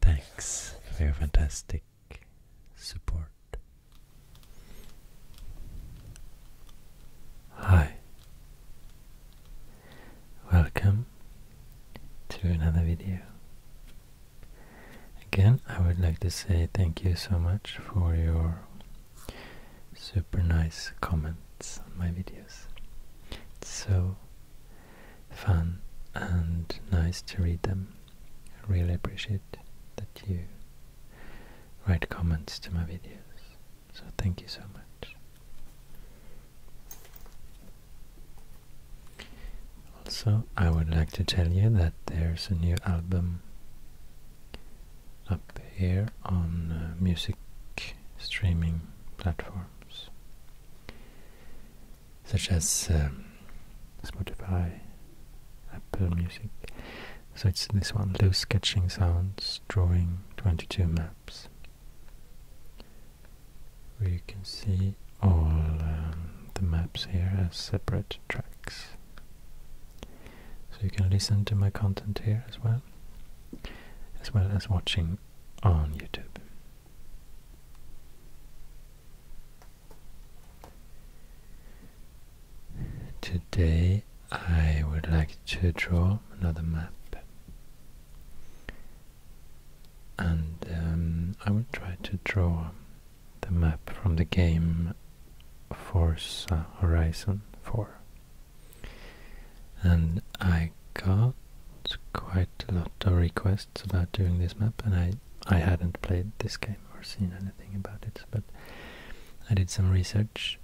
Thanks for your fantastic support. Hi. Welcome to another video. Again, I would like to say thank you so much for your super nice comments on my videos. It's so fun and nice to read them. I really appreciate that you write comments to my videos. So thank you so much. Also, I would like to tell you that there's a new album up here on uh, music streaming platform such as um, Spotify, Apple Music. So it's this one, loose sketching sounds, drawing 22 maps, where you can see all um, the maps here as separate tracks. So you can listen to my content here as well, as well as watching on YouTube. Today I would like to draw another map and um, I will try to draw the map from the game Forza Horizon 4 and I got quite a lot of requests about doing this map and I, I hadn't played this game or seen anything about it but I did some research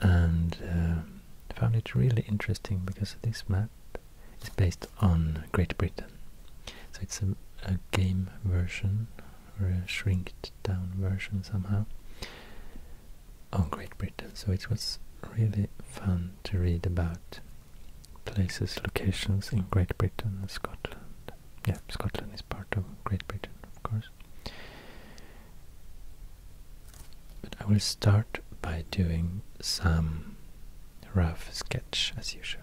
and uh, found it really interesting because this map is based on Great Britain so it's a, a game version or a shrinked down version somehow of oh, Great Britain. So it was really fun to read about places, locations in Great Britain and Scotland. Yeah, Scotland is part of Great Britain, of course. But I will start by doing some rough sketch as usual.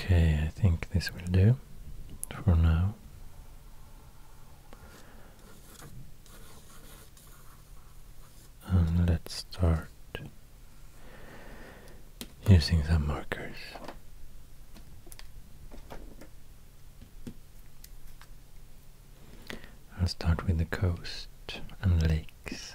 Okay, I think this will do for now. And let's start using some markers. I'll start with the coast and lakes.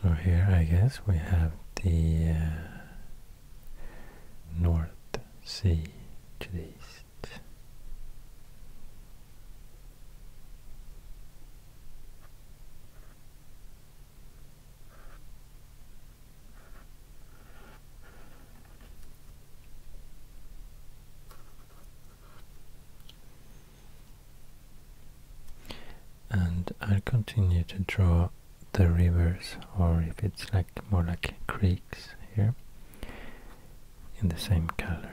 So here I guess we have the uh, North Sea to the east and I'll continue to draw the rivers or if it's like more like creeks here in the same color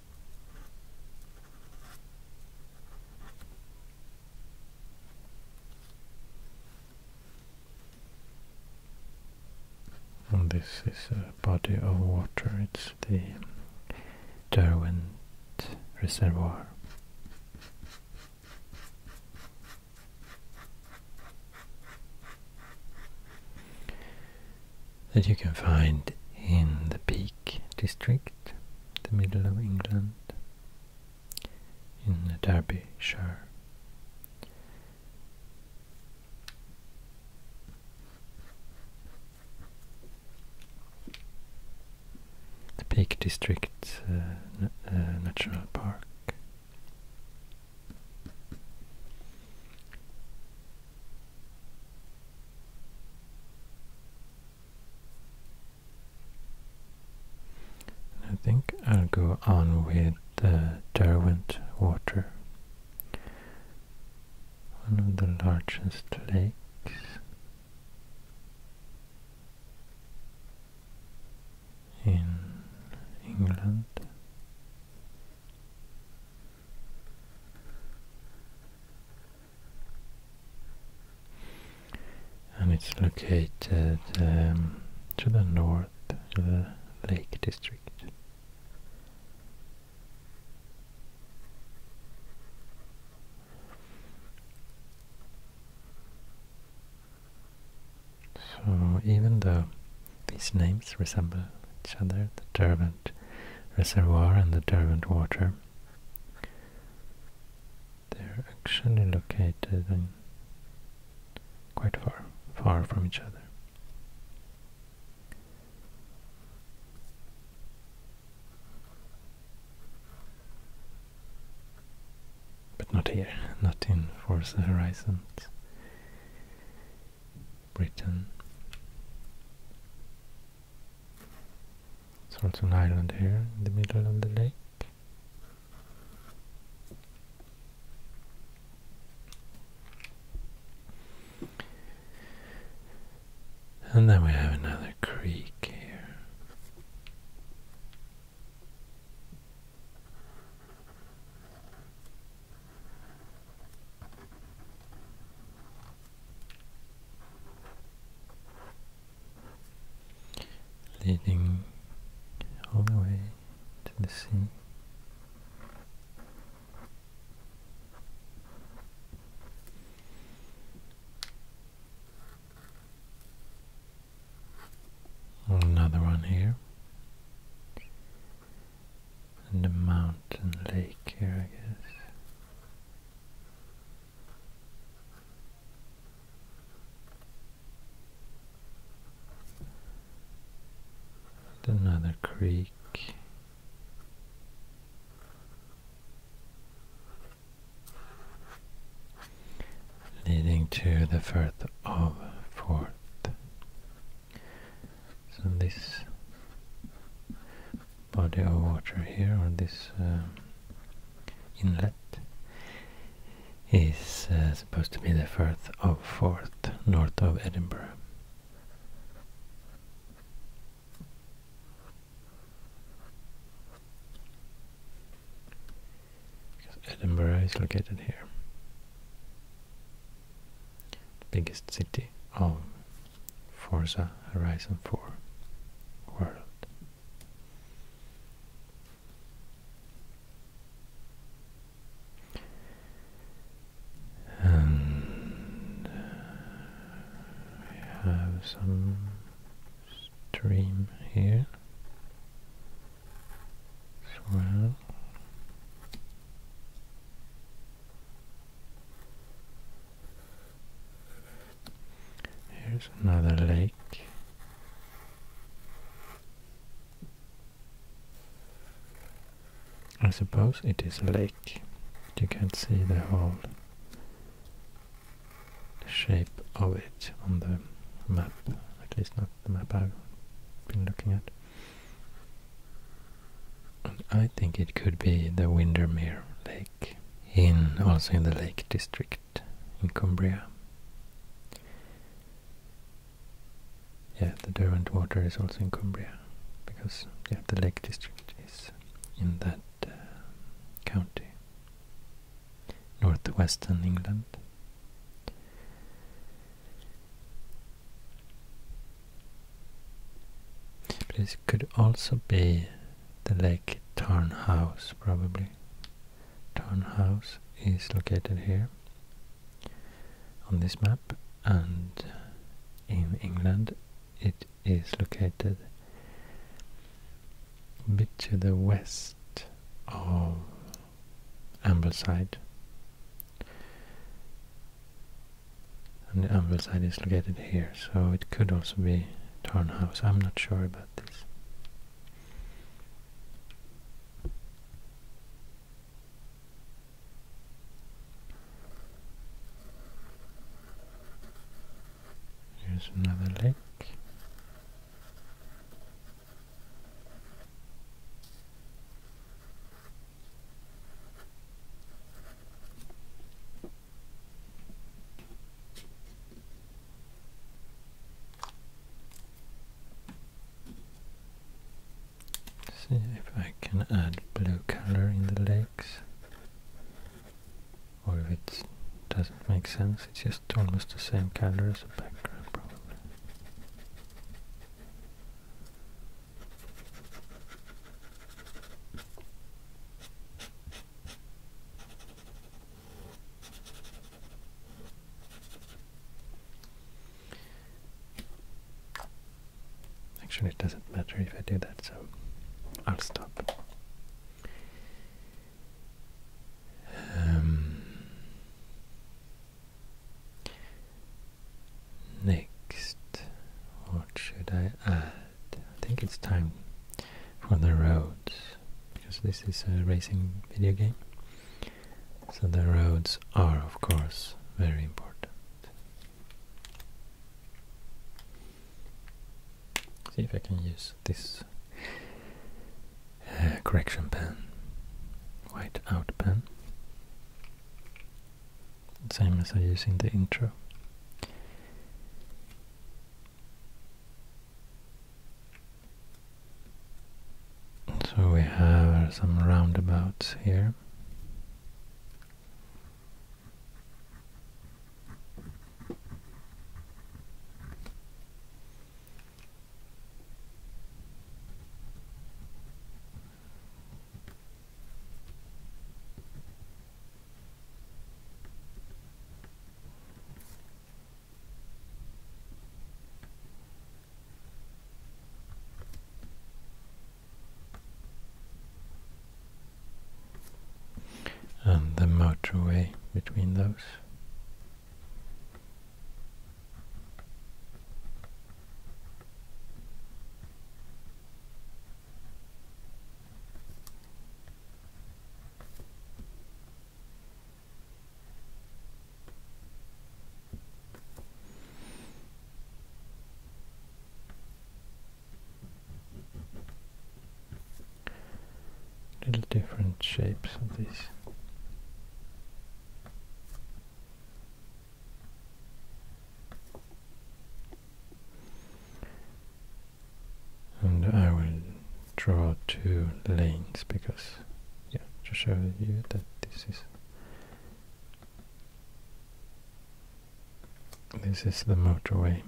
And this is a body of water, it's the Derwent Reservoir. That you can find in the peak district, the middle of England, in Derbyshire. The Peak District uh, uh, National Park. I think I'll go on with the uh, Derwent Water, one of the largest lakes in England and it's located um, to the north of the Lake District. So even though these names resemble each other, the Derwent Reservoir and the Derwent Water, they're actually located quite far, far from each other. But not here, not in Forza Horizons, Britain. It's also an island here in the middle of the lake. And then we have another creek here leading all the way to the sea. Another one here, and a mountain lake here, I guess another creek leading to the Firth of Forth. So this body of water here, or this uh, inlet, is uh, supposed to be the Firth of Forth, north of Edinburgh. Edinburgh is located here, biggest city of for the Horizon 4 world. And uh, we have some stream here as well. Here's another lake. I suppose it is a lake. You can't see the whole shape of it on the map, at least not the map I've been looking at. I think it could be the Windermere Lake in also in the Lake District in Cumbria. Yeah, the Derwent Water is also in Cumbria, because yeah, the Lake District is in that uh, county, northwestern England. This could also be the lake Tarn House probably. Tarn House is located here on this map, and in England it is located a bit to the west of Ambleside and the anvil side is located here, so it could also be Tarnhaus. I'm not sure about this. Here's another lake. See if I can add blue color in the legs or if it doesn't make sense, it's just almost the same color as the background probably. Actually, it doesn't matter if I do that, so I'll stop. Um, next, what should I I think it's time for the roads, because this is a racing video game. So the roads are, of course, very important. See if I can use this uh, correction pen, white out pen. Same as I use in the intro. So we have some roundabouts here and the motorway between those. Little different shapes of these and I will draw two lanes because yeah to show you that this is this is the motorway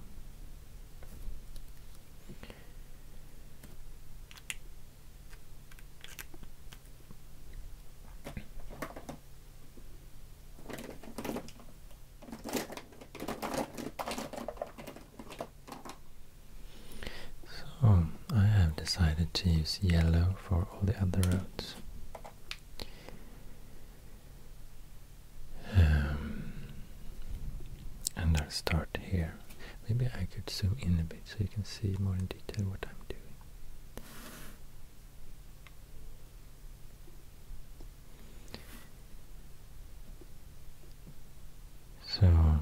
so I have decided to use yellow for all the other roads. Um, and I'll start here. Maybe I could zoom in a bit so you can see more in detail what I'm doing. So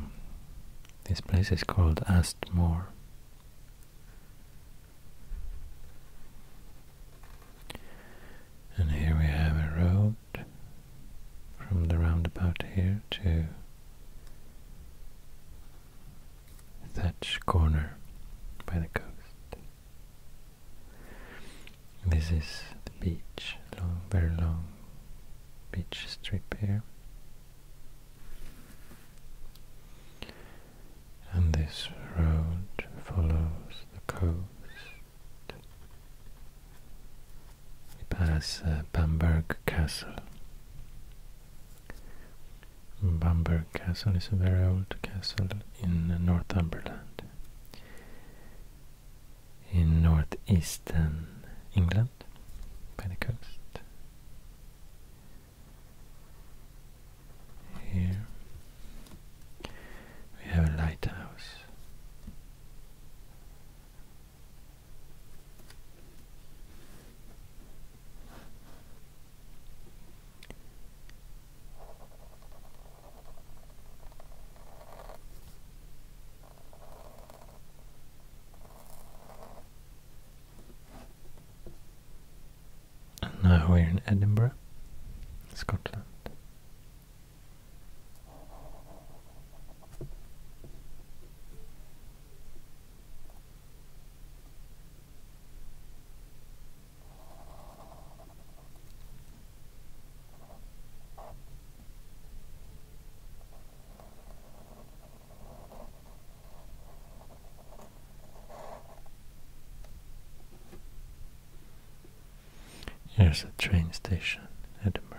this place is called Astmore. And here we have a road from the roundabout here to Thatch Corner by the coast. This is the beach, long, very long beach strip here. And this road follows the coast. We pass uh, Bamberg Castle. Bamberg Castle is a very old castle in uh, Northumberland in northeastern England by the coast. Here we have a lighthouse. And now we're in Edinburgh, Scotland. Here's a train station, Edinburgh.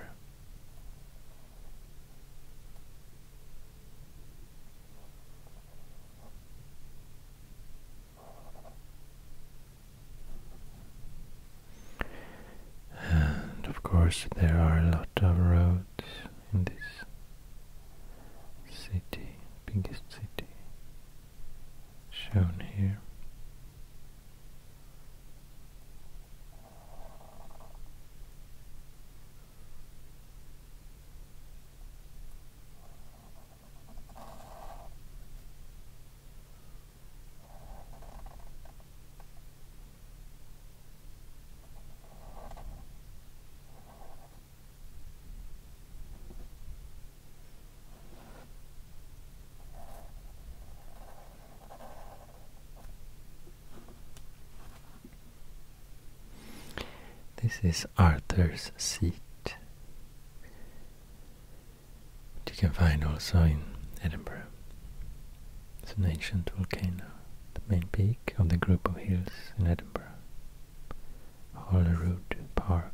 And of course, there are a lot of roads in this city, biggest city shown here. This is Arthur's seat you can find also in Edinburgh. It's an ancient volcano, the main peak of the group of hills in Edinburgh, Holyrood Park.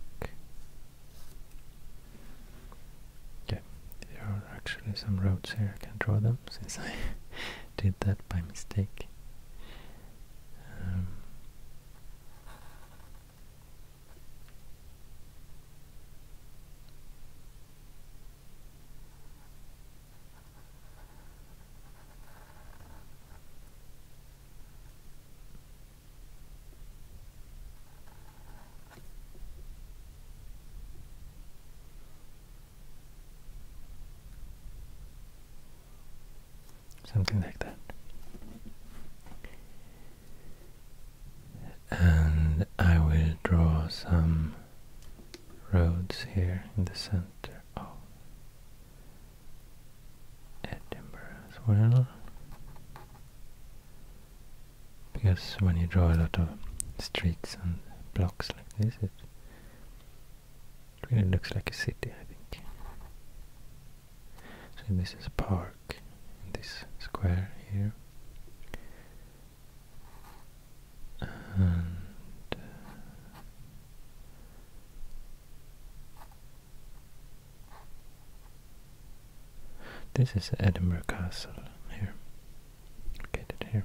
Okay, there are actually some roads here, I can draw them since I did that by mistake. Um, something like that and I will draw some roads here in the center of Edinburgh as well because when you draw a lot of streets and blocks like this it really looks like a city I think so this is a park this square here. this is Edinburgh Castle here, located here.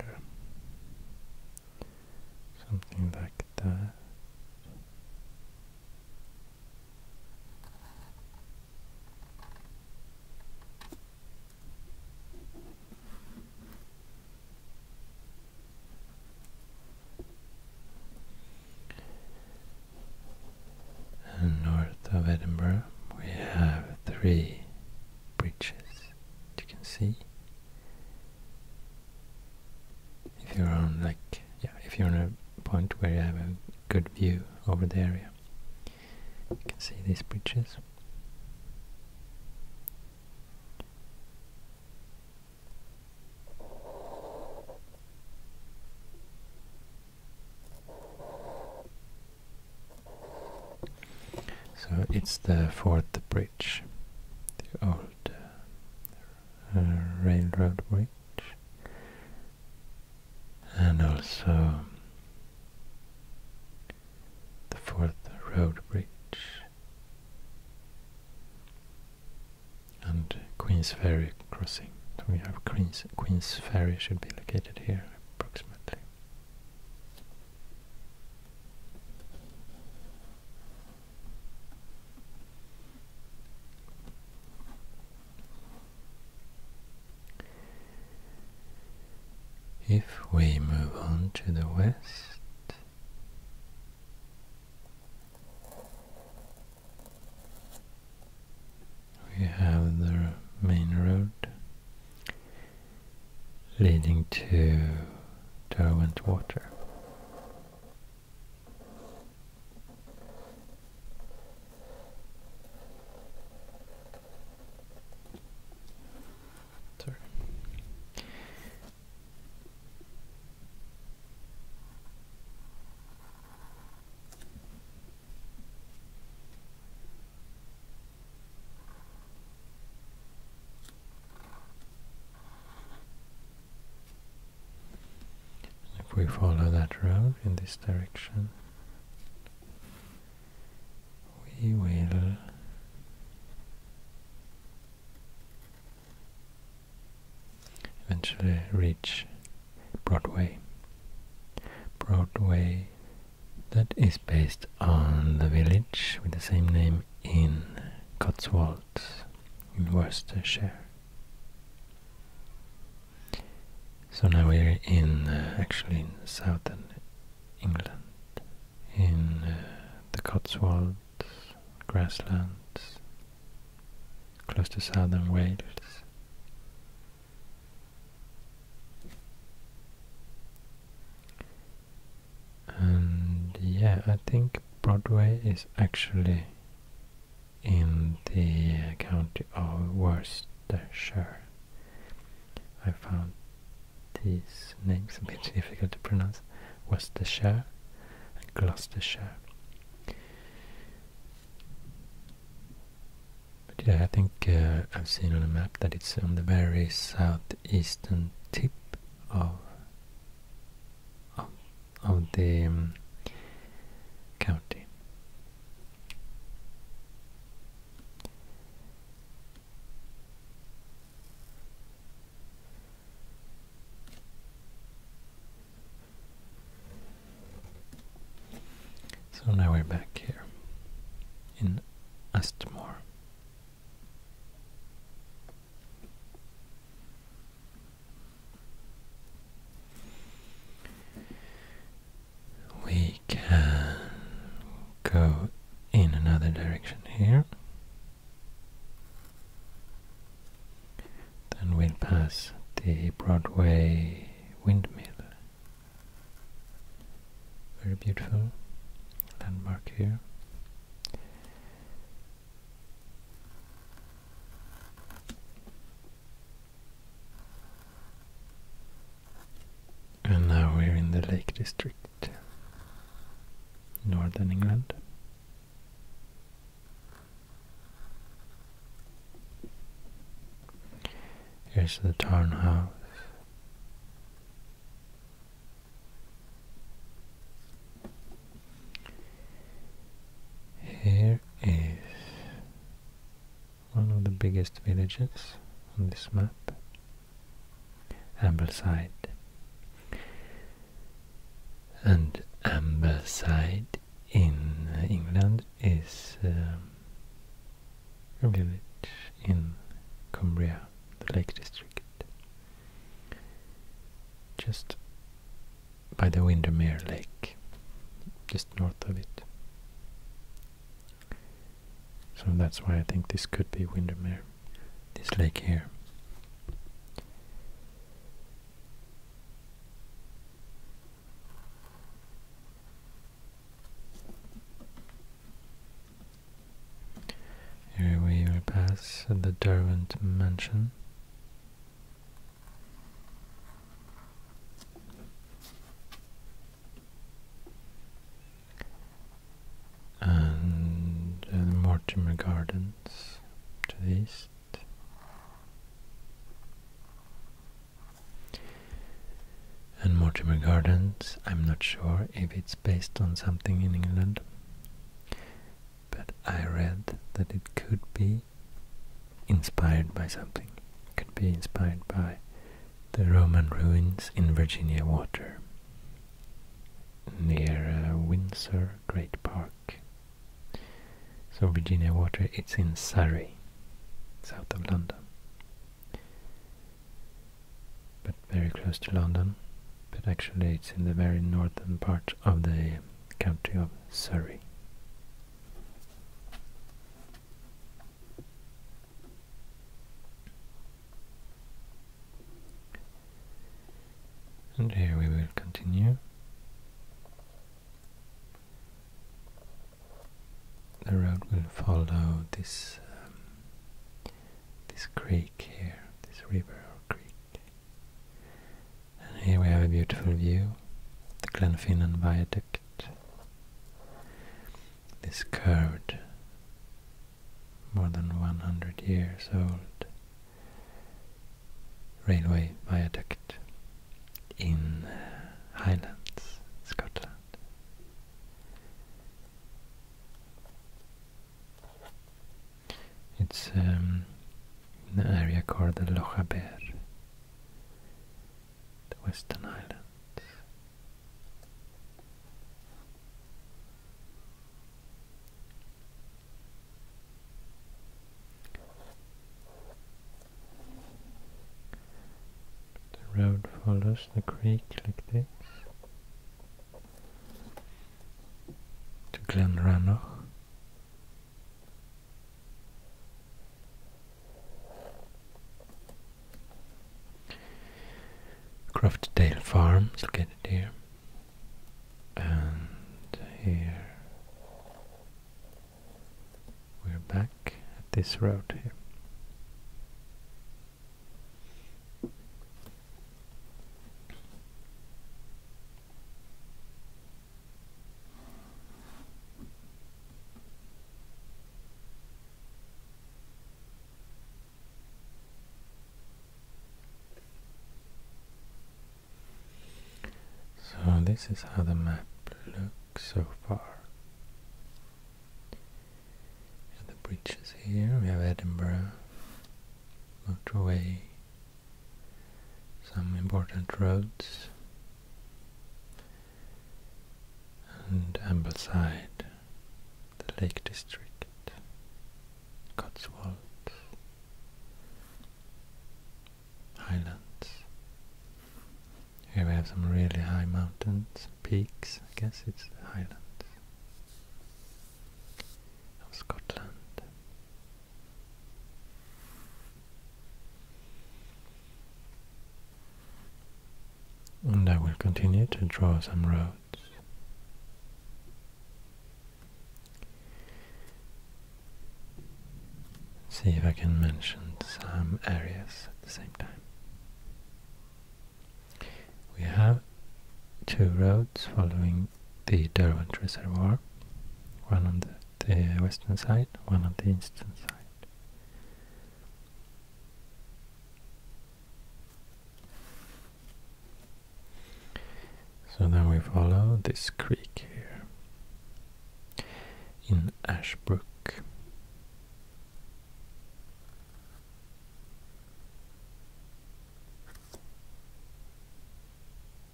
Yeah. Something like that. And north of Edinburgh we have three bridges you can see. If you're on like yeah, if you're on a point where you have a good view over the area. You can see these bridges. So it's the fourth bridge, the old uh, railroad bridge, and also the fourth road bridge and Queen's Ferry crossing. we have Queen's, Queen's Ferry should be located here approximately. If we move on to the west, we have the main road leading to Derwent Water. Sorry. If we follow that road in this direction, we will eventually reach Broadway. Broadway that is based on the village with the same name in Cotswolds in Worcestershire. So now we're in uh, actually in southern England in uh, the Cotswolds, grasslands, close to southern Wales. And yeah, I think Broadway is actually in the uh, county of Worcestershire. I found these names a bit difficult to pronounce. Worcestershire Gloucestershire. But yeah, I think uh, I've seen on a map that it's on the very southeastern tip of of, the um, county. So now we're back here in Astmore. We can go in another direction here then we'll pass the Broadway windmill. Very beautiful landmark here. And now we're in the Lake District, Northern England. Here's the House. Here is one of the biggest villages on this map, Ambleside and Amberside in England is um, a village in Cumbria, the Lake District, just by the Windermere Lake, just north of it. So that's why I think this could be Windermere this lake here. Here we will pass the Derwent Mansion and the uh, Mortimer Gardens to the east. And Mortimer Gardens, I'm not sure if it's based on something in England, but I read that it could be inspired by something. could be inspired by the Roman ruins in Virginia Water near uh, Windsor Great Park. So Virginia Water, it's in Surrey, south of London. But very close to London, but actually it's in the very northern part of the county of Surrey. And here we will continue. The road will follow this um, this creek here, this river or creek. And here we have a beautiful view, the Glenfinnan Viaduct. This curved, more than 100 years old railway viaduct in Highlands, Scotland. It's um, an area called the Lochaber, the Western Islands. The road follows the creek like this to Glenrannoch. Croftdale Farm is located here and here we're back at this road here. So this is how the map looks so far. the bridges here, we have Edinburgh, motorway, some important roads, and Ambleside, the Lake District. Cotswolds, Highlands. Here we have some really high mountains, peaks, I guess it's the Highlands of Scotland. And I will continue to draw some roads See if I can mention some areas at the same time. We have two roads following the Derwent Reservoir, one on the, the western side, one on the eastern side. So now we follow this creek here in Ashbrook.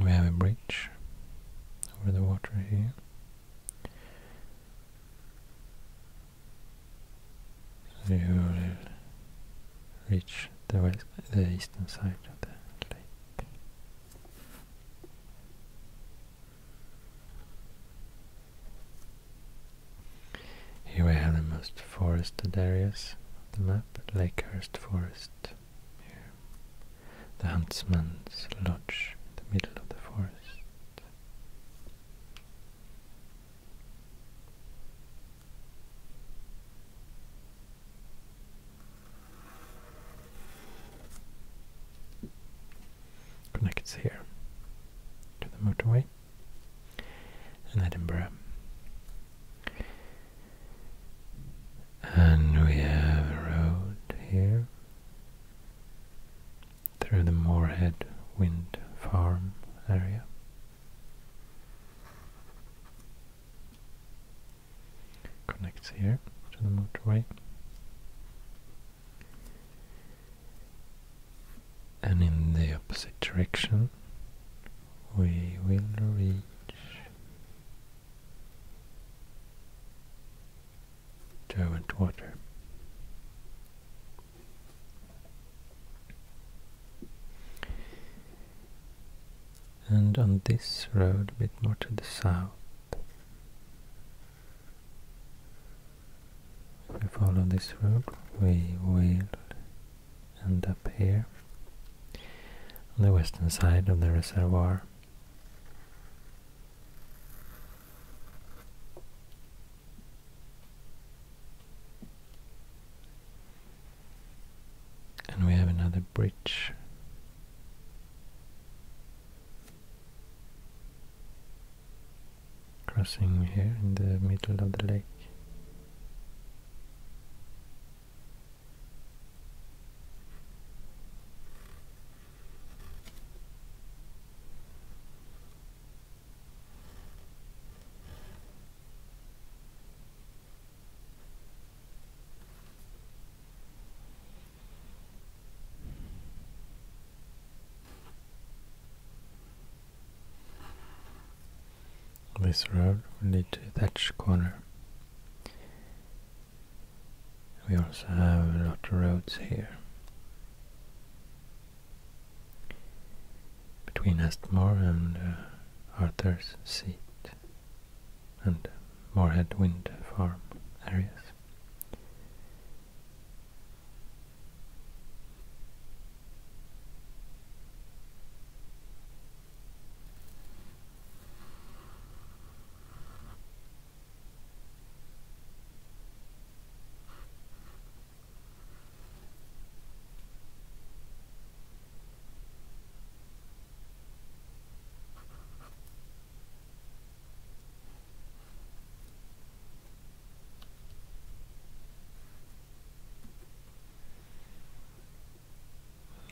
We have a bridge over the water here. So you will reach the, west, the eastern side of the lake. Here we have the most forested areas of the map, Lakehurst Forest The huntsman's lodge in the middle of the forest. Connects here to the motorway and Edinburgh. And we have a road here through the Moorhead Wind Farm area. Connects here to the motorway. And in the opposite direction, we will reach Derwent Water. And on this road, a bit more to the south, if we follow this road, we will end up here on the western side of the reservoir. And we have another bridge. Crossing here in the middle of the lake. This road will lead to Thatch Corner. We also have a lot of roads here between Astmore and uh, Arthur's Seat and Moorhead Wind Farm areas.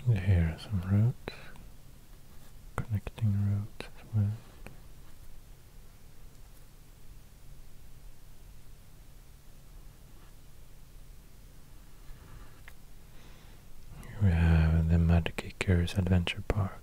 And here are some routes, connecting routes as well. We have the Mud Kickers Adventure Park.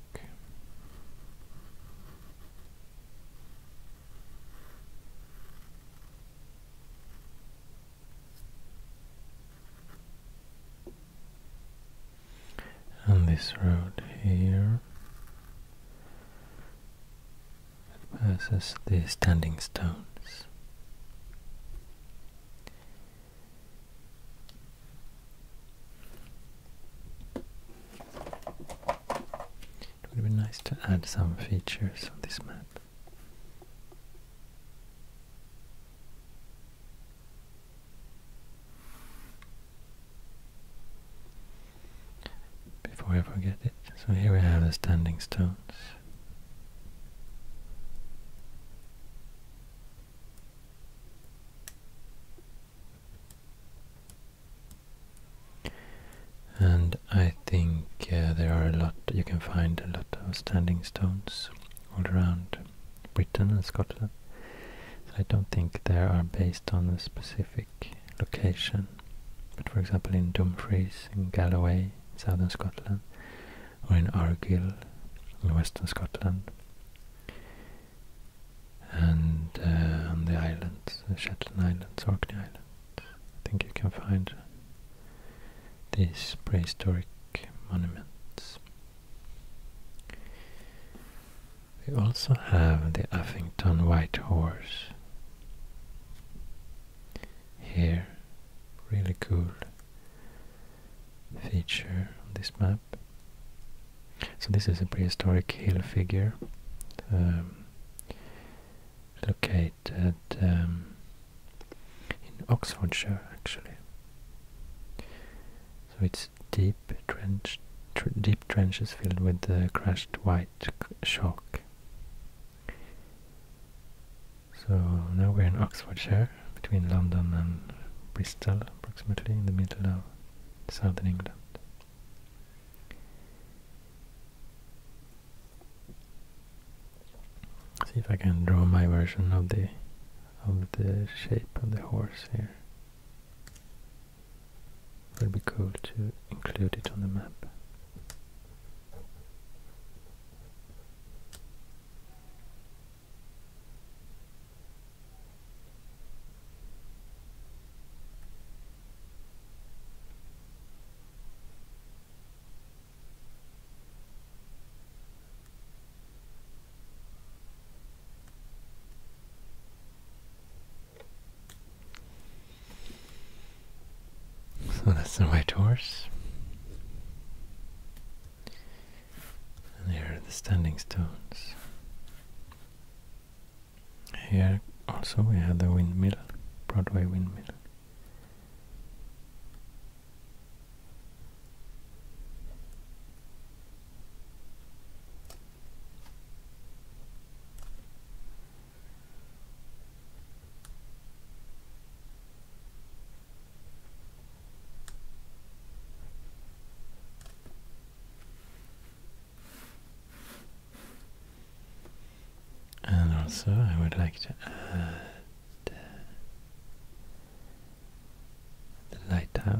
on this road here versus the Standing Stones. It would be nice to add some features on this map before I forget it. So here we have the standing stones. And I think uh, there are a lot, you can find a lot of standing stones all around Britain and Scotland. So I don't think they are based on a specific location. But for example in Dumfries, in Galloway, southern Scotland, or in Argyll, in western Scotland, and uh, on the islands, the Shetland Islands, Orkney Islands. I think you can find these prehistoric monuments. We also have the Uffington White Horse here, really cool feature on this map. So this is a prehistoric hill figure um, located um, in Oxfordshire actually. So it's deep, trench, tr deep trenches filled with uh, crushed white chalk so now we're in Oxfordshire, between London and Bristol, approximately in the middle of southern England. See if I can draw my version of the of the shape of the horse here. It'll be cool to include it on the map. So that's the white horse. And here are the standing stones. Here also we have the windmill, Broadway windmill. And also, I would like to add uh, the lighthouse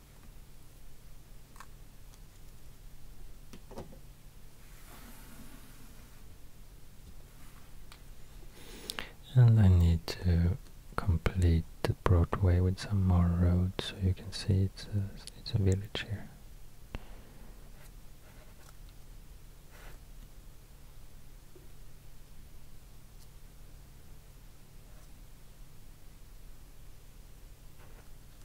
And I need to complete the Broadway with some more roads, so you can see it's a, it's a village here.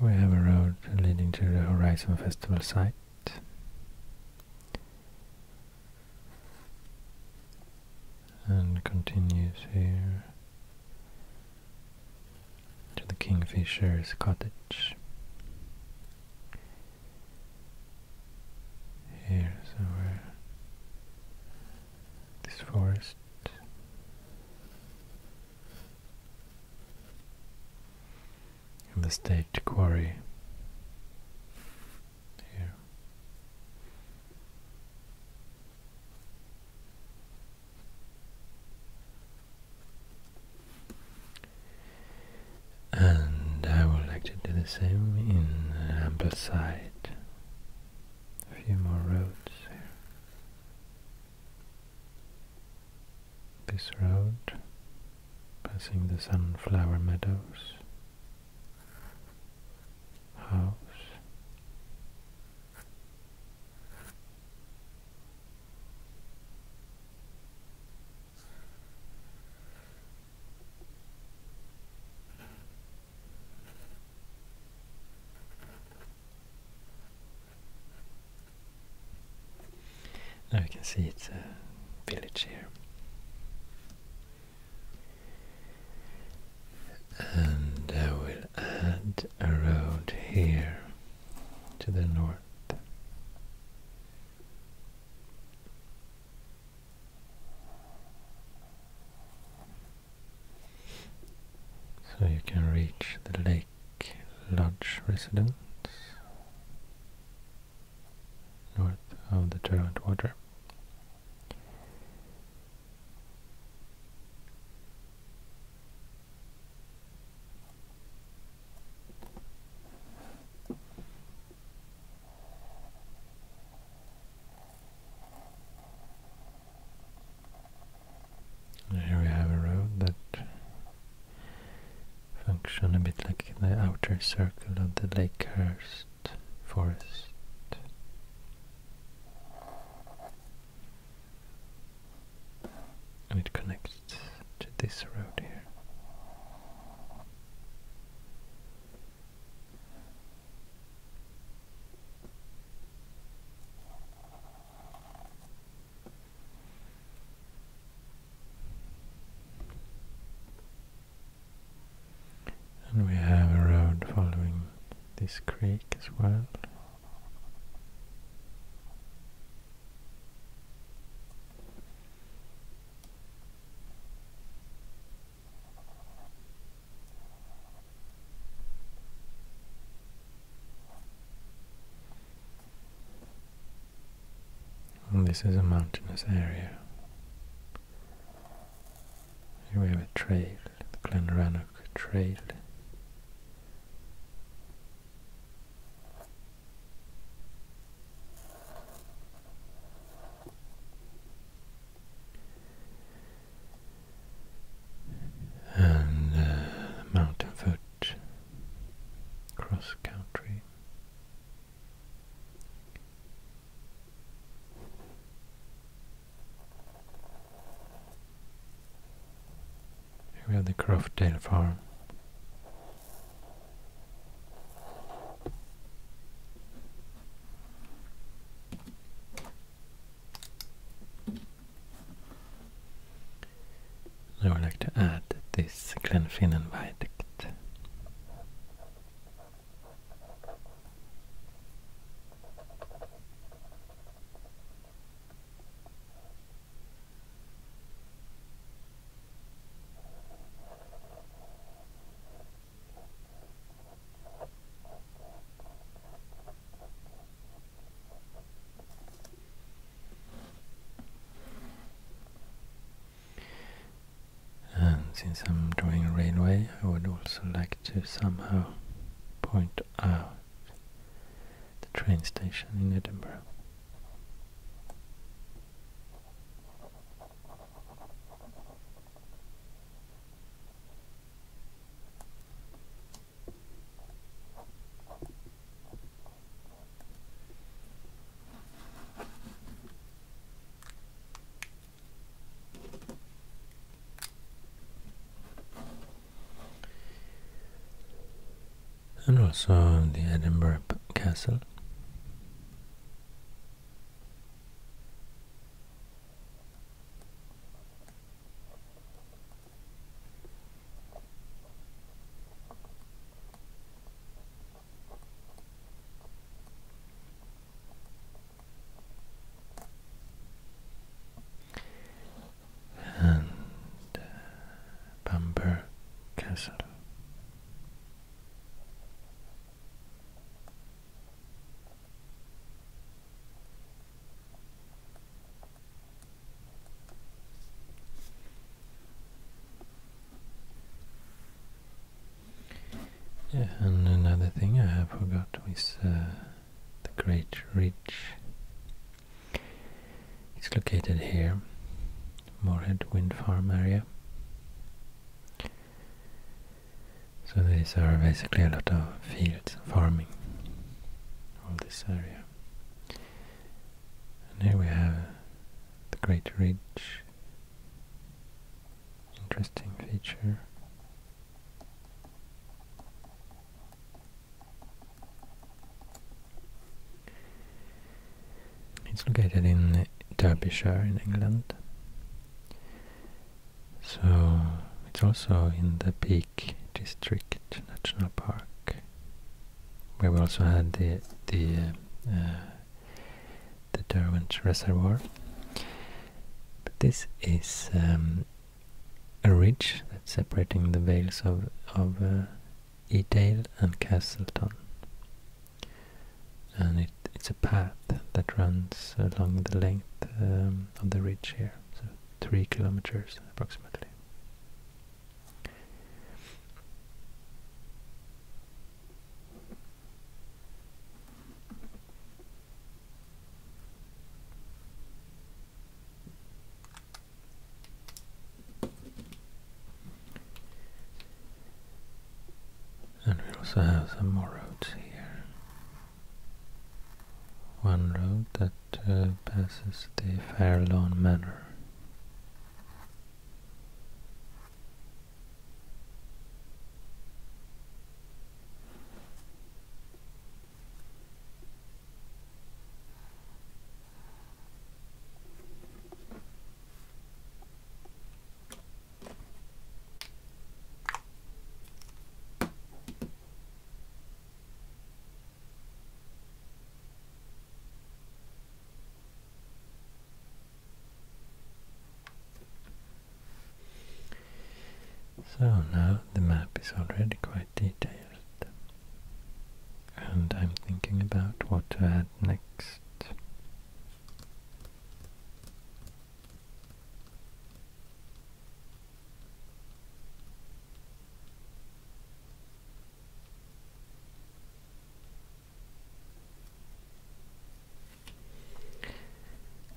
we have a road leading to the Horizon Festival site. And continues here to the Kingfisher's cottage. Here's our this forest in the state quarry here. And I would like to do the same in Ambleside. A few more roads here this road, passing the sunflower meadows, house, now you can see it's a village here. And I will add a road here to the north. So you can reach the lake like lodge residence north of the Derwent Water. Here we have a road that functions a bit like the outer circle of the Lakehurst forest. And it connects to this road here. And we have a road following this creek as well this is a mountainous area. Here we have a trail, the Glenrannoch Trail. And uh, mountain foot cross country. Here we have the Croftdale farm. I would like to add this Glenfinnan Viaduct. And since I'm drawing a railway, I would also like to somehow point out the train station in Edinburgh. And also the Edinburgh Castle and Bamber uh, Castle and another thing I have forgot is uh, the Great Ridge. It's located here, Moorhead Wind Farm area. So these are basically a lot of fields, farming, on this area. And here we have the Great Ridge. Interesting feature. It's located in Derbyshire in England. So it's also in the Peak District National Park where we also had the the uh, uh, the Derwent Reservoir. But this is um, a ridge that's separating the vales of of uh, Edale and Castleton, and it's a path that runs along the length um, of the ridge here, so three kilometers approximately. And we also have some more roads here. One road that to pass uh, passes the Fairlawn Manor. So now the map is already quite detailed. And I'm thinking about what to add next.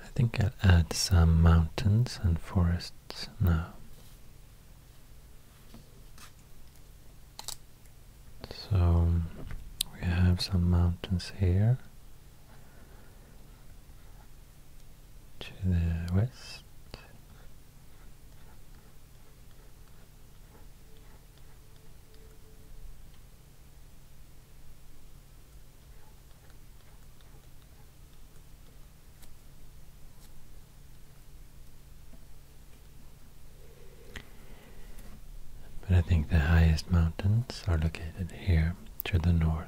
I think I'll add some mountains and forests now. So we have some mountains here to the west but I think the highest mountains are located here to the north.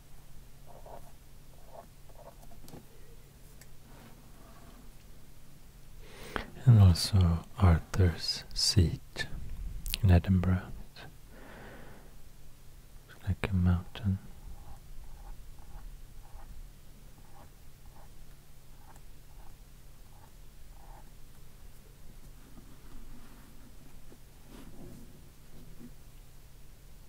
and also Arthur's seat in Edinburgh. like a mountain.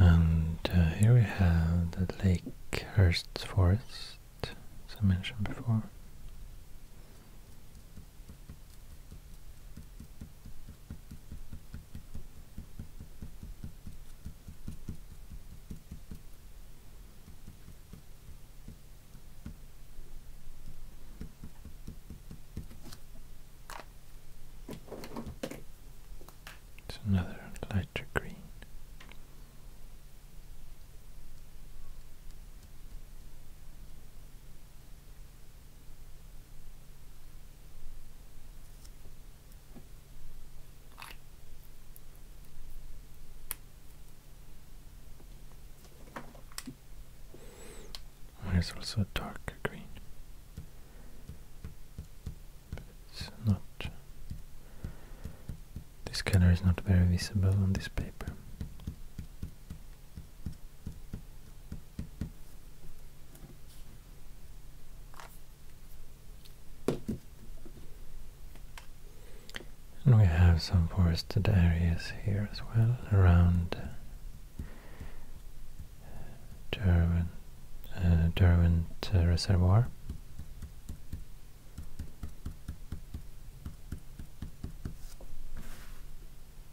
And uh, here we have the Lakehurst Forest, as I mentioned before. It's another lighter green. There's also a darker green. it's not. This color is not very visible on this paper. And we have some forested areas here as well, around uh, Derwent, uh, Derwent uh, Reservoir.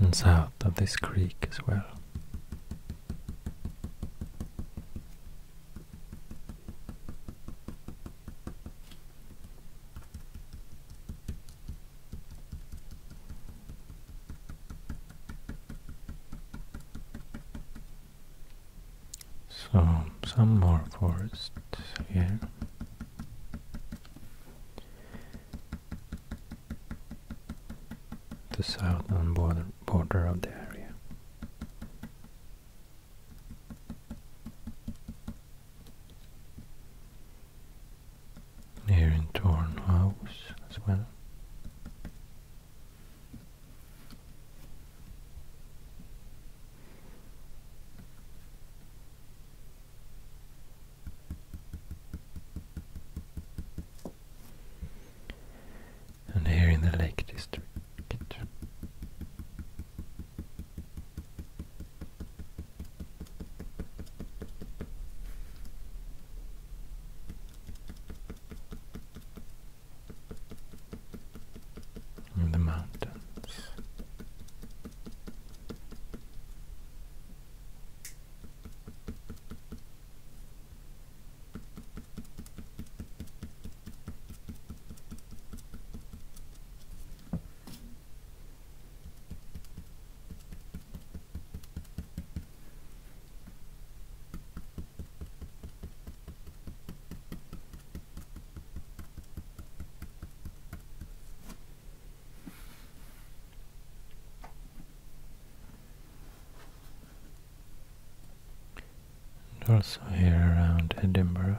and south of this creek as well. So some more forests here. The southern border border of the area. Here in Tornhouse as well. And here in the Lake District in the mountains. And also here around Edinburgh.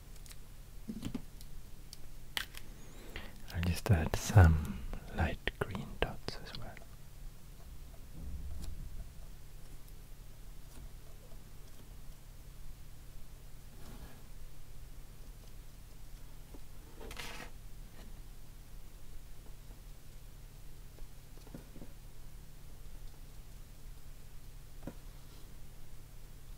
I'll just add some light green dots as well.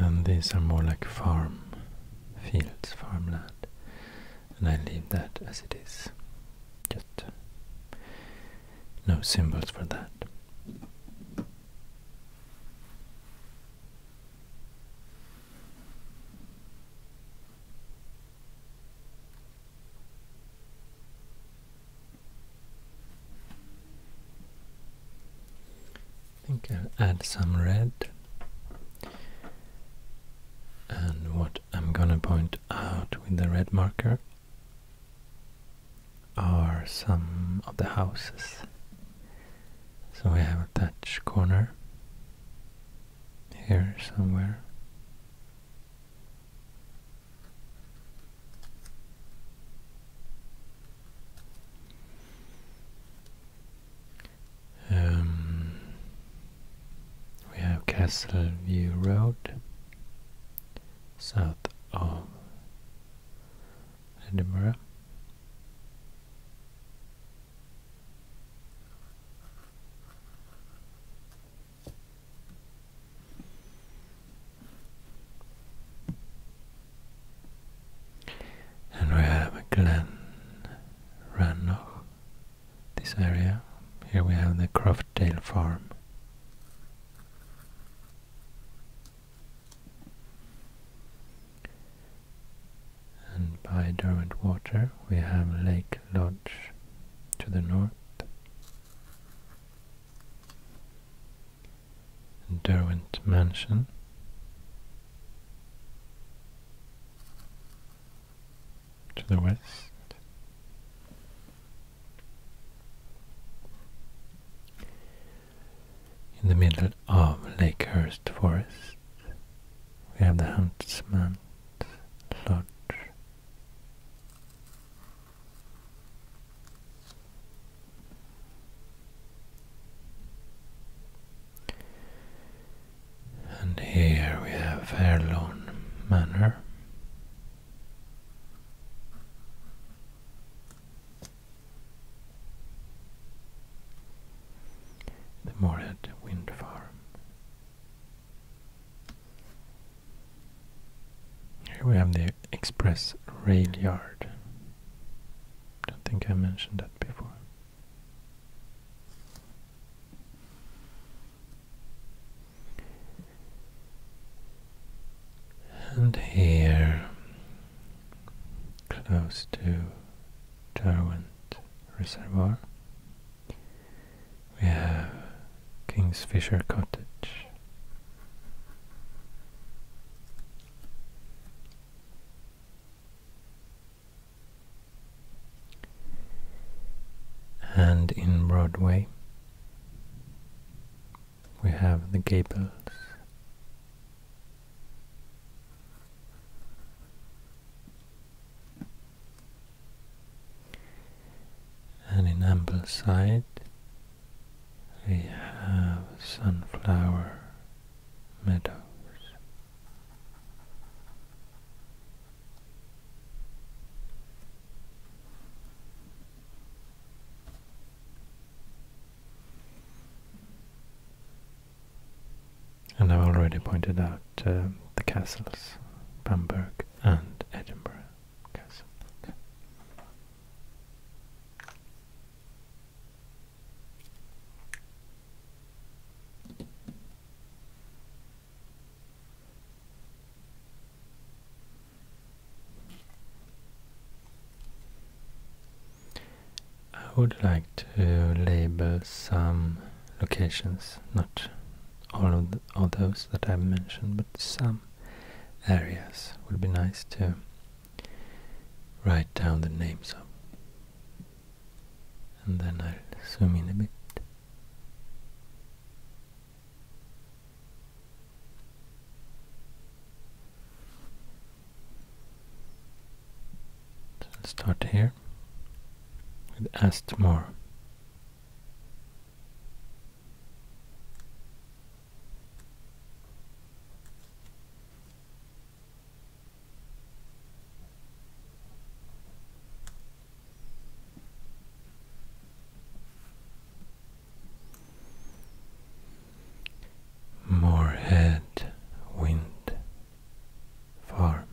And these are more like farm fields, farmland, and I leave that as it is. Just uh, no symbols for that. I think I'll add some red. And what I'm gonna point out with the red marker are some of the houses. So we have a thatch corner here somewhere. Um, we have Castle View Road south of Edinburgh. And we have a Glen Rannoch, this area. Here we have the Croftdale farm. And by Derwent Water we have Lake Lodge to the north. And Derwent Mansion. To the west, in the middle of Lakehurst Forest. We have the Huntsman's Lodge. And here we have Fairlawn Manor. The Moorhead Wind Farm. Here we have the express rail yard. Don't think I mentioned that before and here, close to Darwent Reservoir, we have Kingsfisher Cottage. And in Broadway, we have the gables. And in Ambleside we have sunflower meadows. And I've already pointed out uh, the castles, Bamberg and Edinburgh Castle. I would like to label some locations, not all of, all those that I mentioned, but some areas would be nice to write down the names of. And then I'll zoom in a bit let's start here with Astmore. Moorhead Wind Farm.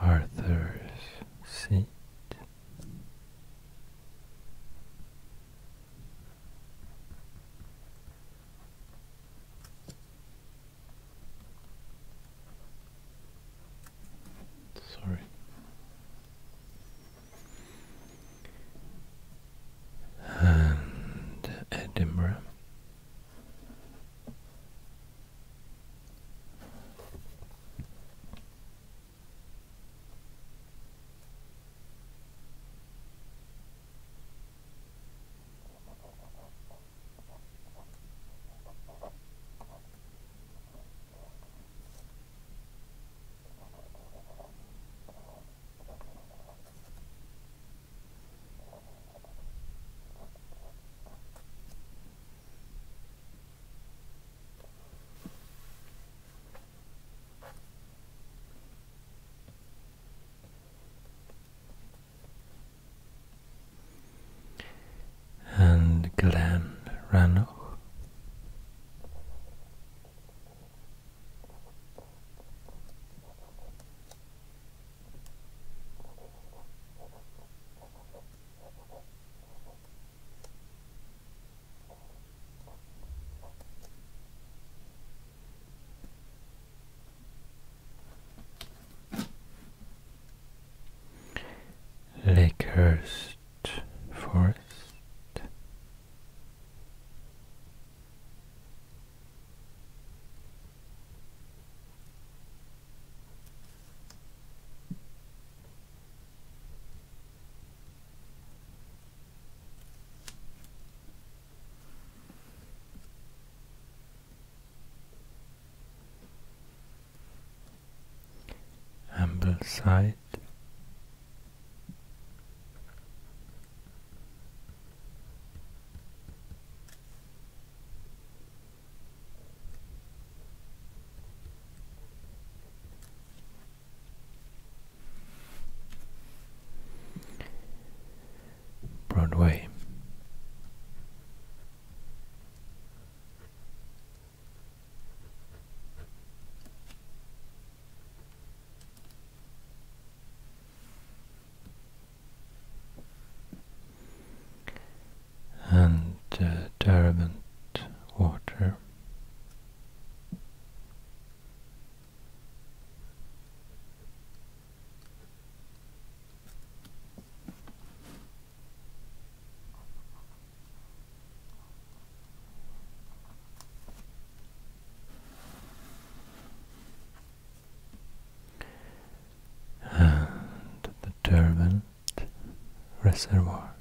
Arthur's seat. Sorry and Edinburgh. And Glenn Rannoch Lakehurst Forest Ambleside Broadway and uh, water and the Derwent Reservoir.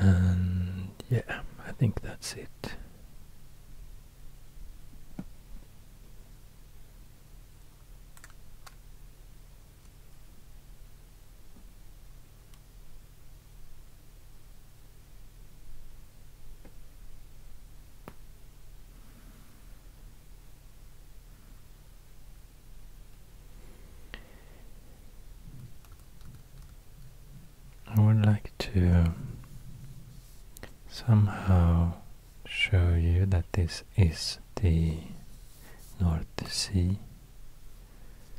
And yeah, I think that's it. I would like to somehow show you that this is the North Sea,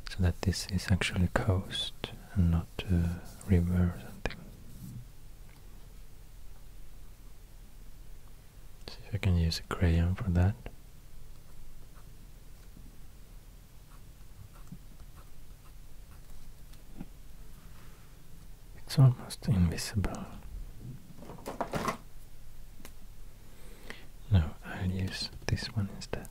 so that this is actually coast and not a river or something. See if I can use a crayon for that. It's almost invisible. No, I'll use this one instead.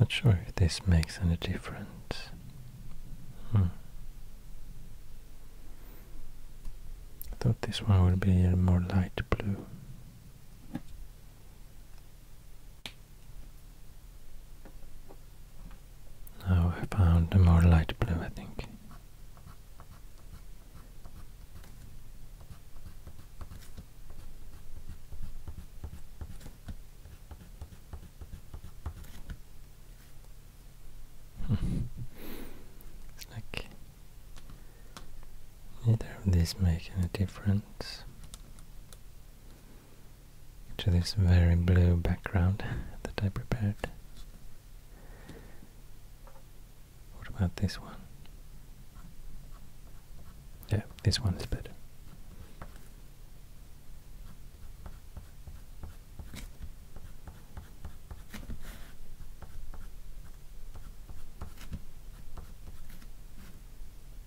Not sure if this makes any difference. Hmm. I thought this one would be a more light blue. Now I found a more light blue, I think. Hmm. it's like Neither of these make any difference to this very blue background that I prepared. What about this one? Yeah, this one is better.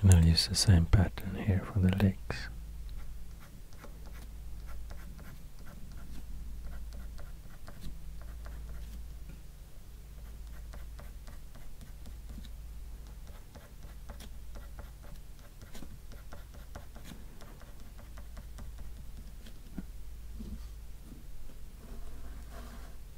and I'll use the same pattern here for the legs.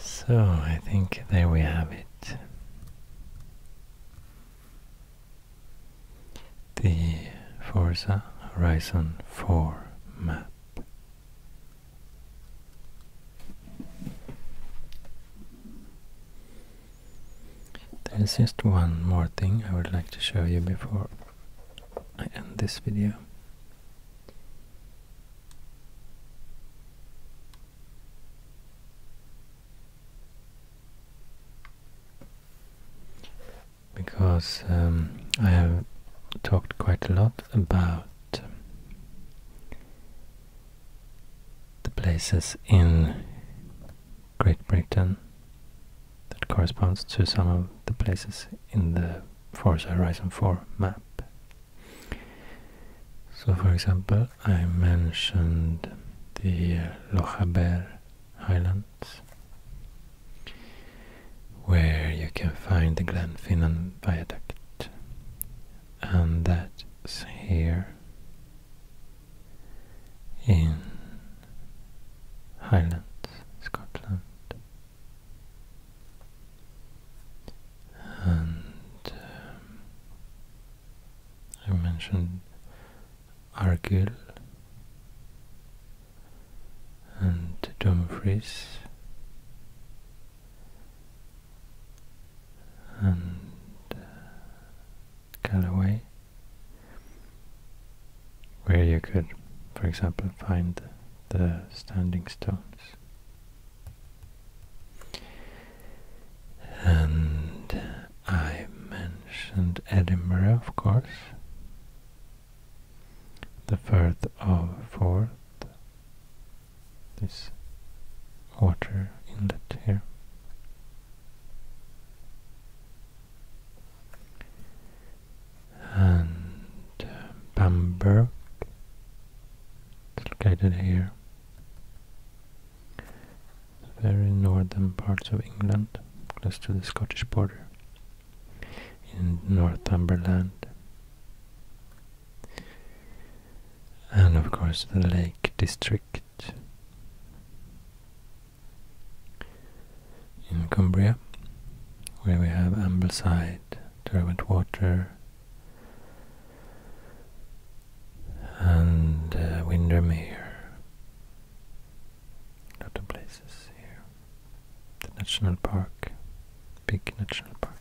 So I think there we have it. The Forza Horizon 4 map. There's just one more thing I would like to show you before I end this video because um, I have talked quite a lot about um, the places in Great Britain that corresponds to some of the places in the Forza Horizon 4 map. So for example, I mentioned the uh, Lochaber Highlands where you can find the Glenfinnan Viaduct, and that's here in Highlands, Scotland. And um, I mentioned Argyll and Dumfries and uh, where you could, for example, find the standing stones. And I mentioned Edinburgh, of course, the firth of Forth, this water inlet here. And uh, Bamberg, it's located here, very northern parts of England, close to the Scottish border in Northumberland. And of course the Lake District in Cumbria, where we have Ambleside, Derwent Water, and uh, Windermere. A of places here the national park, big national park.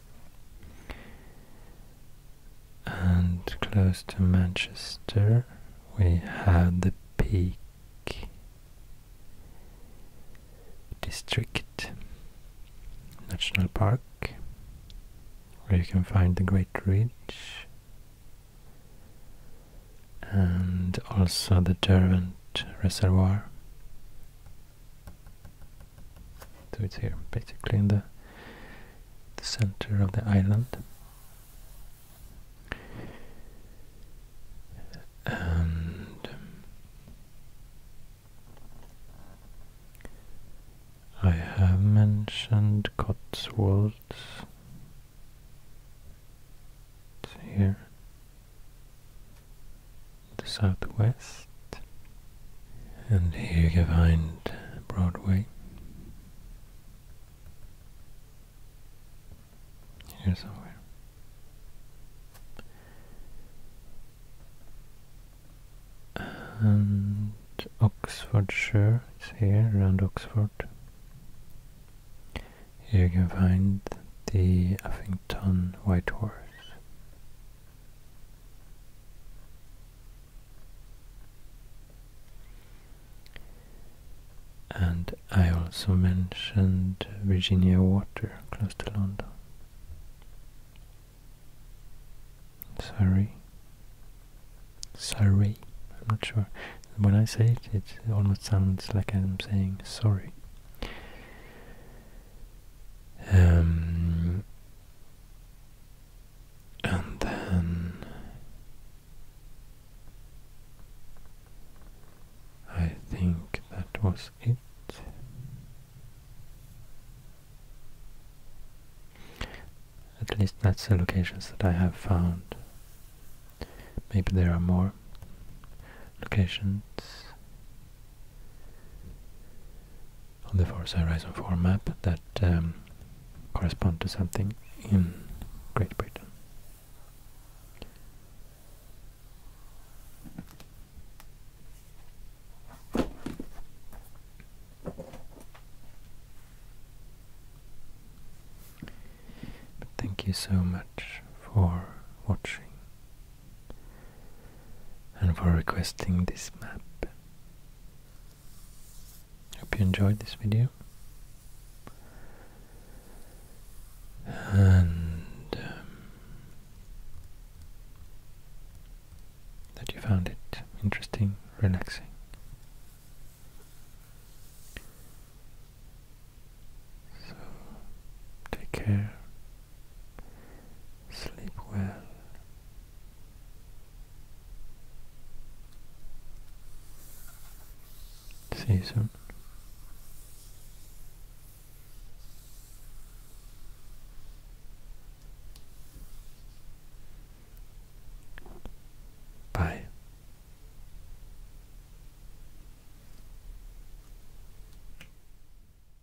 And close to Manchester, we have the Peak District National Park, where you can find the Great Ridge and also the Derwent Reservoir do it here, basically in the, the center of the island. And I have mentioned Cotswolds here the southwest and here you can find Broadway here somewhere and Oxfordshire is here around Oxford here you can find the Uffington White Horse. And I also mentioned Virginia Water close to London. Sorry. Sorry, I'm not sure. When I say it, it almost sounds like I'm saying sorry. Um, and then I think that was it. At least that's the locations that I have found. Maybe there are more, locations on the Forza Horizon 4 map that um, correspond to something in Great Britain. But thank you so much for watching and for requesting this map. Hope you enjoyed this video. And um, that you found it interesting, relaxing. So, take care. Sleep well. See you soon. Bye.